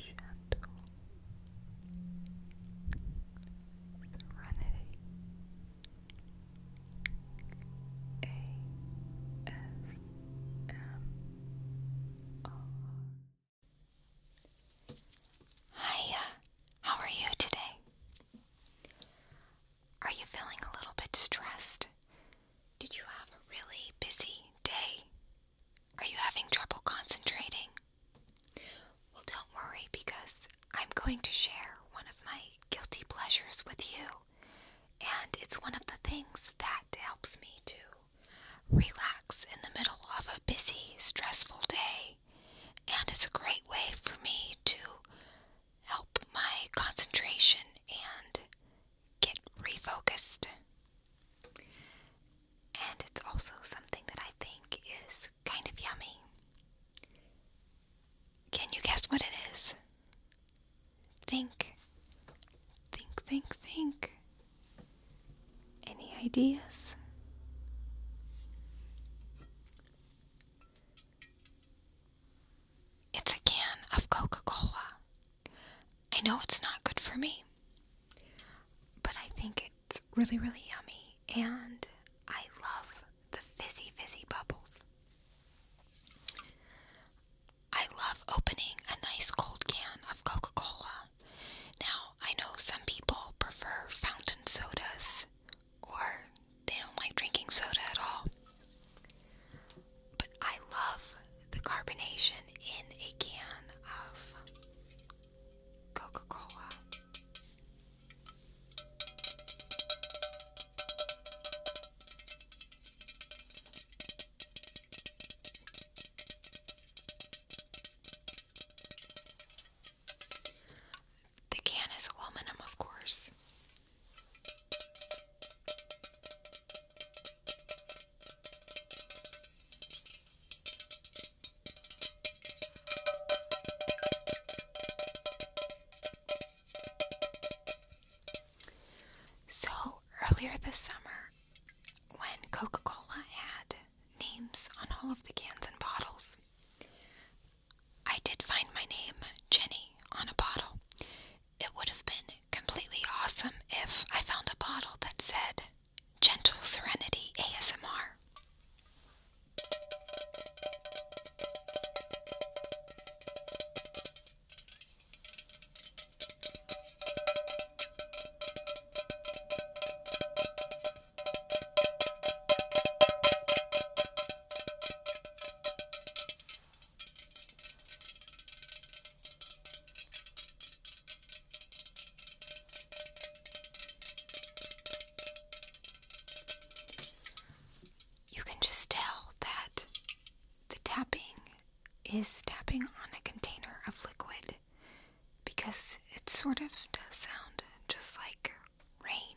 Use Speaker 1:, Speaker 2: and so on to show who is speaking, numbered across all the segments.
Speaker 1: gentle Hiya, how are you today? Are you feeling a little bit stressed? Did you have a really busy day? Are you having trouble concentrating? Well, don't worry because I'm going to share one of my guilty pleasures with you. And it's one of the things that helps me to relax in the middle of a busy, stressful day. And it's a great way for me to help my concentration and get refocused. And it's also something that I think is kind of yummy. Can you guess what it is? Think. Think, think, think. Any ideas? It's a can of Coca Cola. I know it's not good for me, but I think it's really, really yummy, and I love the fizzy, fizzy bubbles. I love opening a nice cold can of Coca Cola. Now, I know some people prefer fountain sodas or they don't like drinking soda at all. But I love the carbonation in a can of Coca Cola. The can is aluminum, of course. So earlier this summer, when Coca Cola had names on all of the cans and bottles, I did find my name, Jenny, on a bottle, it would have been completely awesome if I found a bottle that said Gentle Serenity ASMR. You can just tell that the tapping is tapping on a container of liquid because it sort of does sound just like rain.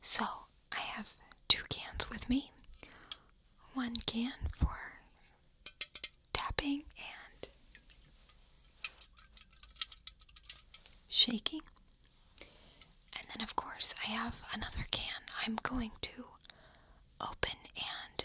Speaker 1: So, I have two cans with me. One can for tapping and shaking. And then, of course, I have another can I'm going to open and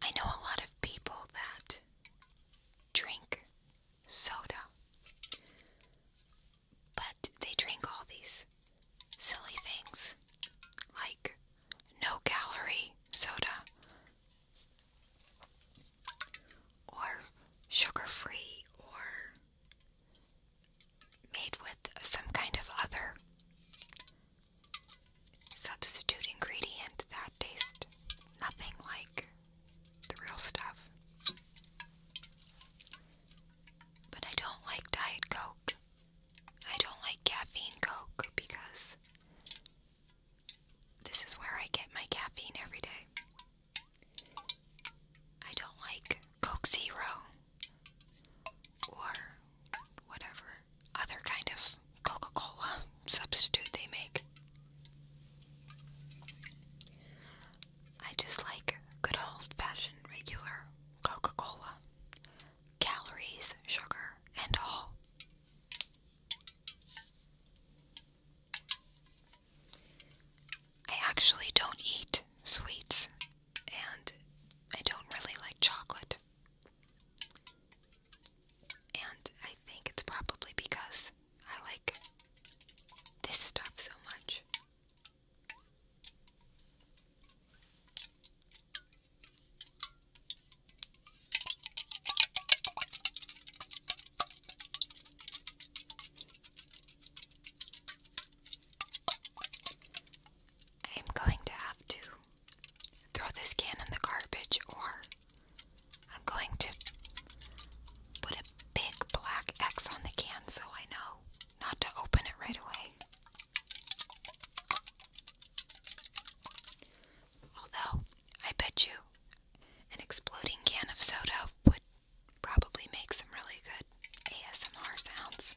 Speaker 1: I know a lot of people that drink soda, but they drink all these silly things like no calorie soda, or sugar free, or made with some kind of other substitute ingredient that tastes nothing like the real stuff. But I don't like Diet Coke. I don't like caffeine Coke because this is where I get my caffeine every day. I don't like Coke Zero or whatever other kind of Coca Cola substitute they make. I just like good old fashioned regular Coca Cola. Calories, sugar, and all. I actually don't eat sweets, and I don't really like chocolate. And I think it's probably because I like this stuff so much. I'm going to have to throw this can in the garbage, or I'm going to put a big black X on the can so I know not to open it right away. Although, I bet you an exploding can of soda would probably make some really good ASMR sounds.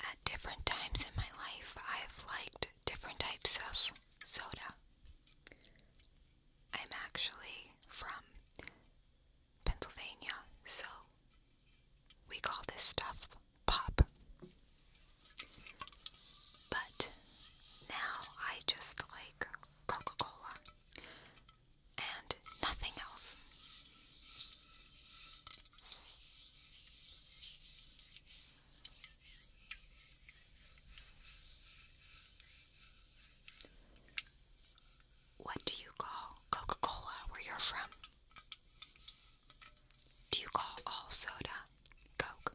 Speaker 1: At different times in my life, I've liked different types of soda. I'm actually from Pennsylvania, so we call this stuff pop. But now I just like Coca Cola and nothing else. What do you call Coca Cola where you're from? Do you call all soda Coke?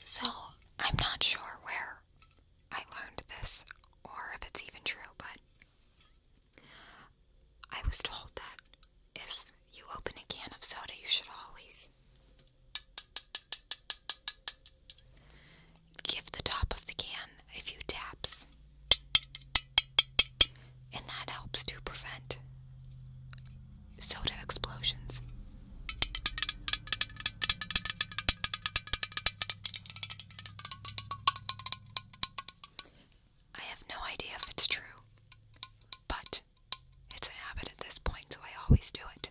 Speaker 1: So, I'm not sure where I learned this or if it's even true, but I was told that if you open a can of soda, you should always give the top of the can a few taps, and that helps to prevent soda explosions. I have no idea if it's true, but it's a habit at this point, so I always do it.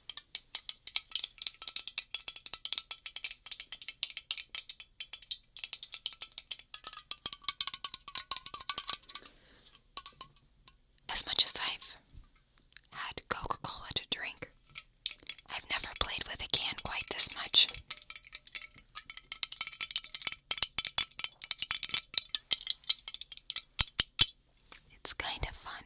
Speaker 1: As much as I've had Coca Cola to drink, I've never played with a can quite this much. It's kind of fun.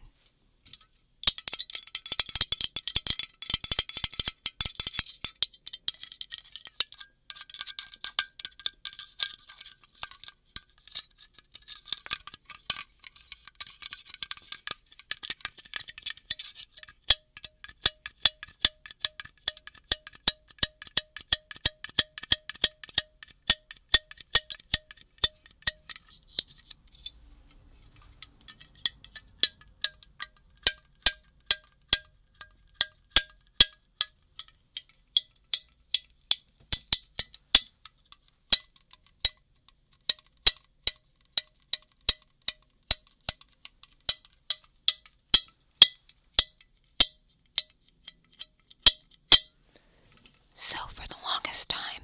Speaker 1: So, for the longest time,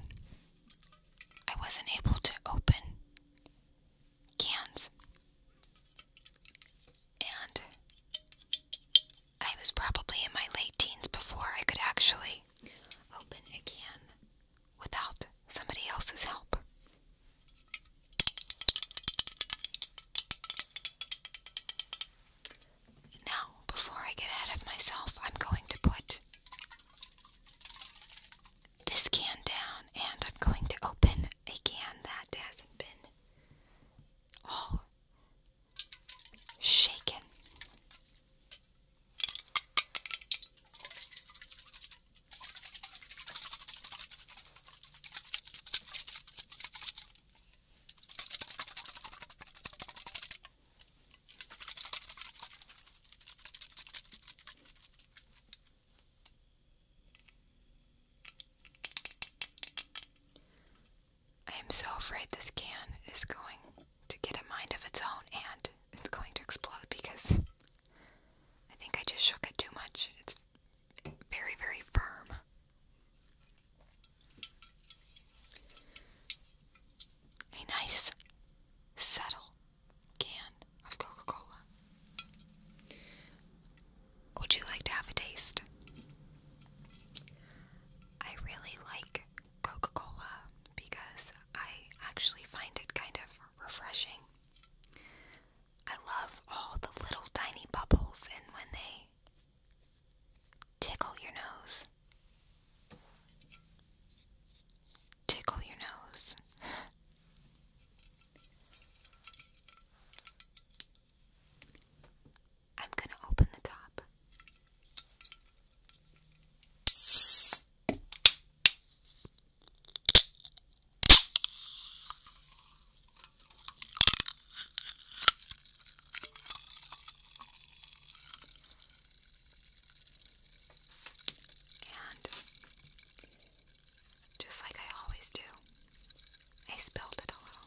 Speaker 1: I wasn't able to open cans. And I was probably in my late teens before I could actually open a can without somebody else's help. Now, before I get ahead of myself, I'm going to put this can down, and I'm going to open a can that hasn't been all shaken. I am so afraid this can is going to get a mind of its own and it's going to explode because I think I just shook it too much. It's very, very firm a nice subtle can of Coca Cola. Would you like to have a taste? I really like Coca Cola because I actually find it kind of refreshing. I love all the little tiny bubbles and when they tickle your nose. Tickle your nose. I'm going to open the top. And just like I always do, I spilled it a little.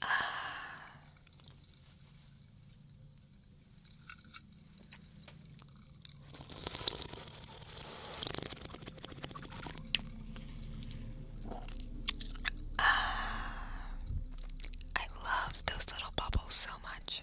Speaker 1: Ah. Ah. I love those little bubbles so much.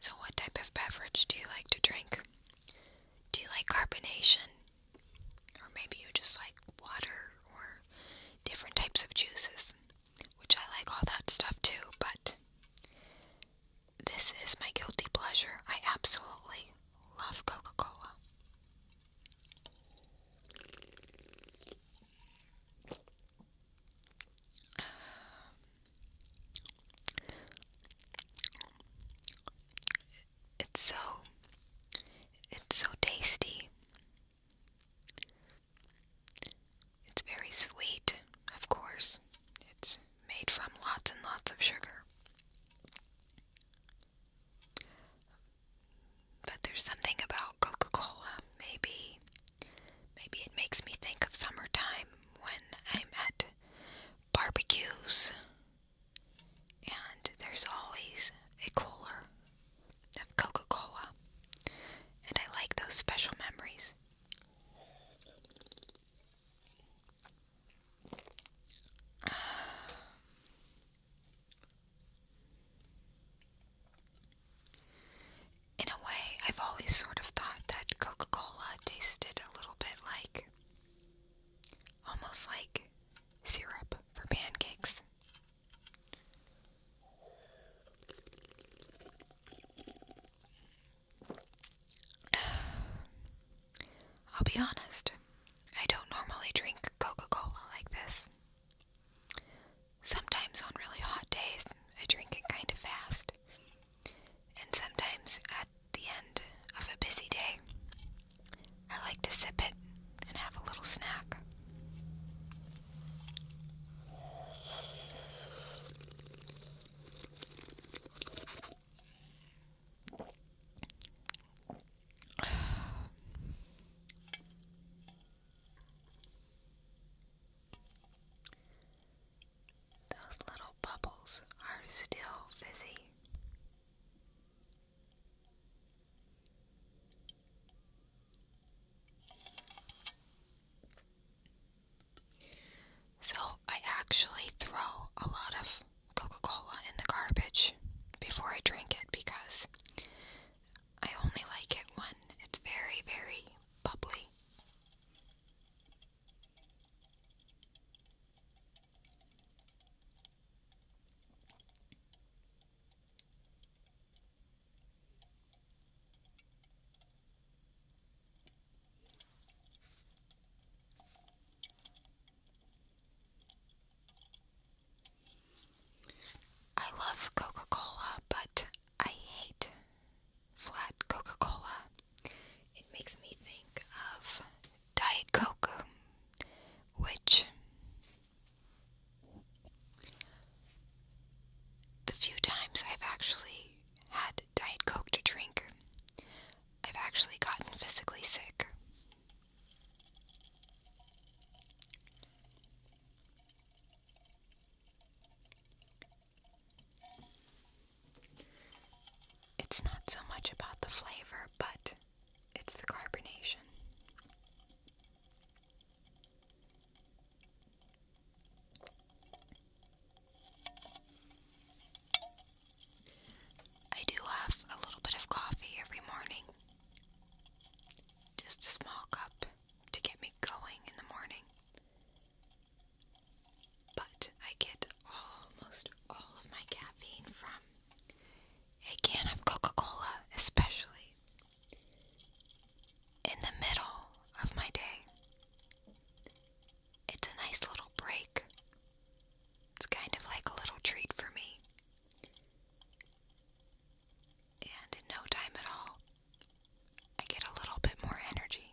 Speaker 1: So, what type of beverage do you like to drink? Do you like carbonation? Or maybe you just like water or different types of juices, which I like all that stuff too, but this is my guilty pleasure. I absolutely love Coca Cola. It's so it's so tasty. It's very sweet, of course. It's made from lots and lots of sugar. But there's something about Coca-Cola. Maybe maybe it makes me think of summertime when I'm barbecues, and there's always a cooler of Coca Cola, and I like those special memories. in a way, I've always sort of thought that Coca Cola tasted a little bit like almost like syrup for pancakes. I'll be honest, I don't normally drink Coca Cola like this. Sometimes on really hot days, I drink it kind of fast. And sometimes at the end of a busy day, I like to sip it and have a little snack. Those little bubbles are still fizzy. So, I actually throw a lot of Coca Cola in the garbage before I drink it because I only like it when it's very, very bubbly. I love Coca Cola, but I hate flat Coca Cola. It makes me think of Diet Coke, which the few times I've actually had Diet Coke to drink, I've actually gotten physically sick. It's not so much about the flavor, but it's the carbonation. I do have a little bit of coffee every morning. Just a small cup to get me going in the morning. But I get almost all of my caffeine from a can of Coca Cola, especially in the middle of my day. It's a nice little break. It's kind of like a little treat for me. And in no time at all, I get a little bit more energy.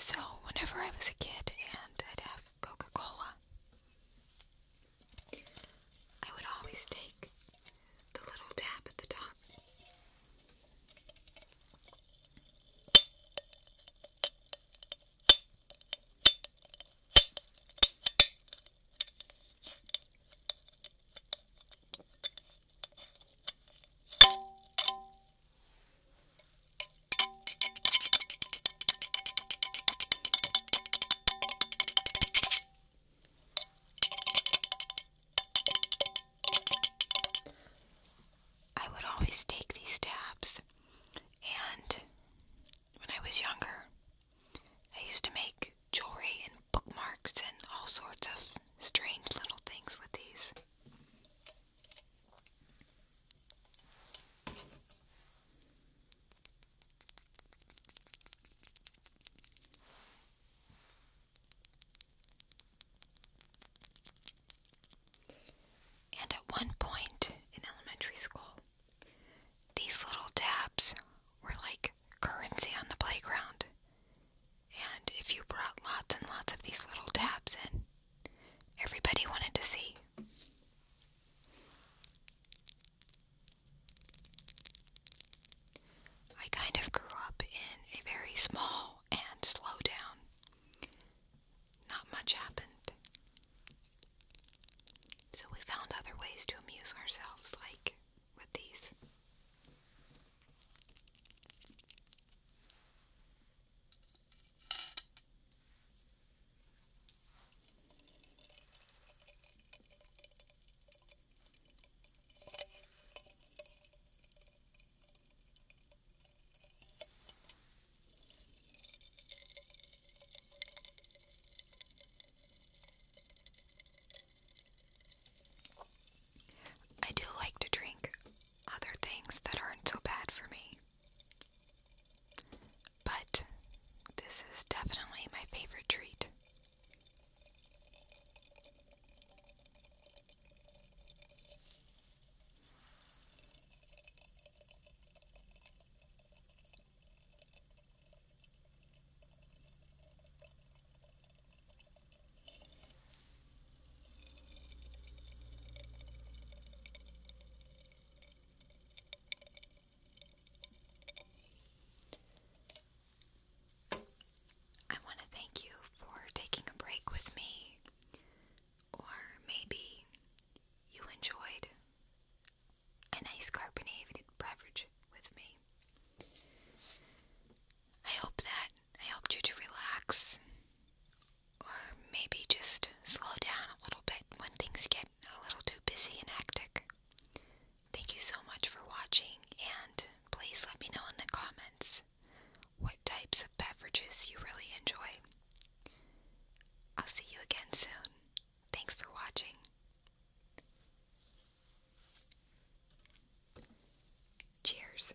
Speaker 1: So, whenever I was a kid and I'd have Coca Cola, I would always take the little tap at the top. I would always take these tabs, and when I was younger, I used to make jewelry and bookmarks and all sorts of strange little things with these. And at one point in elementary school, these little tabs were like currency on the playground. And if you brought lots and lots of these little tabs in, everybody wanted to see. I kind of grew up in a very small and slow down. Not much happened. So we found other ways to amuse ourselves, like with these. I do like to drink other things that aren't so bad for me. But this is definitely my favorite treat. I want to thank you for taking a break with me, or maybe you enjoyed a nice carbonated beverage with me. I hope that I helped you to relax, or maybe just slow down a little bit when things get a little too busy and hectic. Thank you so much for watching, and please let me know in the comments what types of beverages you really enjoy. I'll see you again soon. Thanks for watching. Cheers.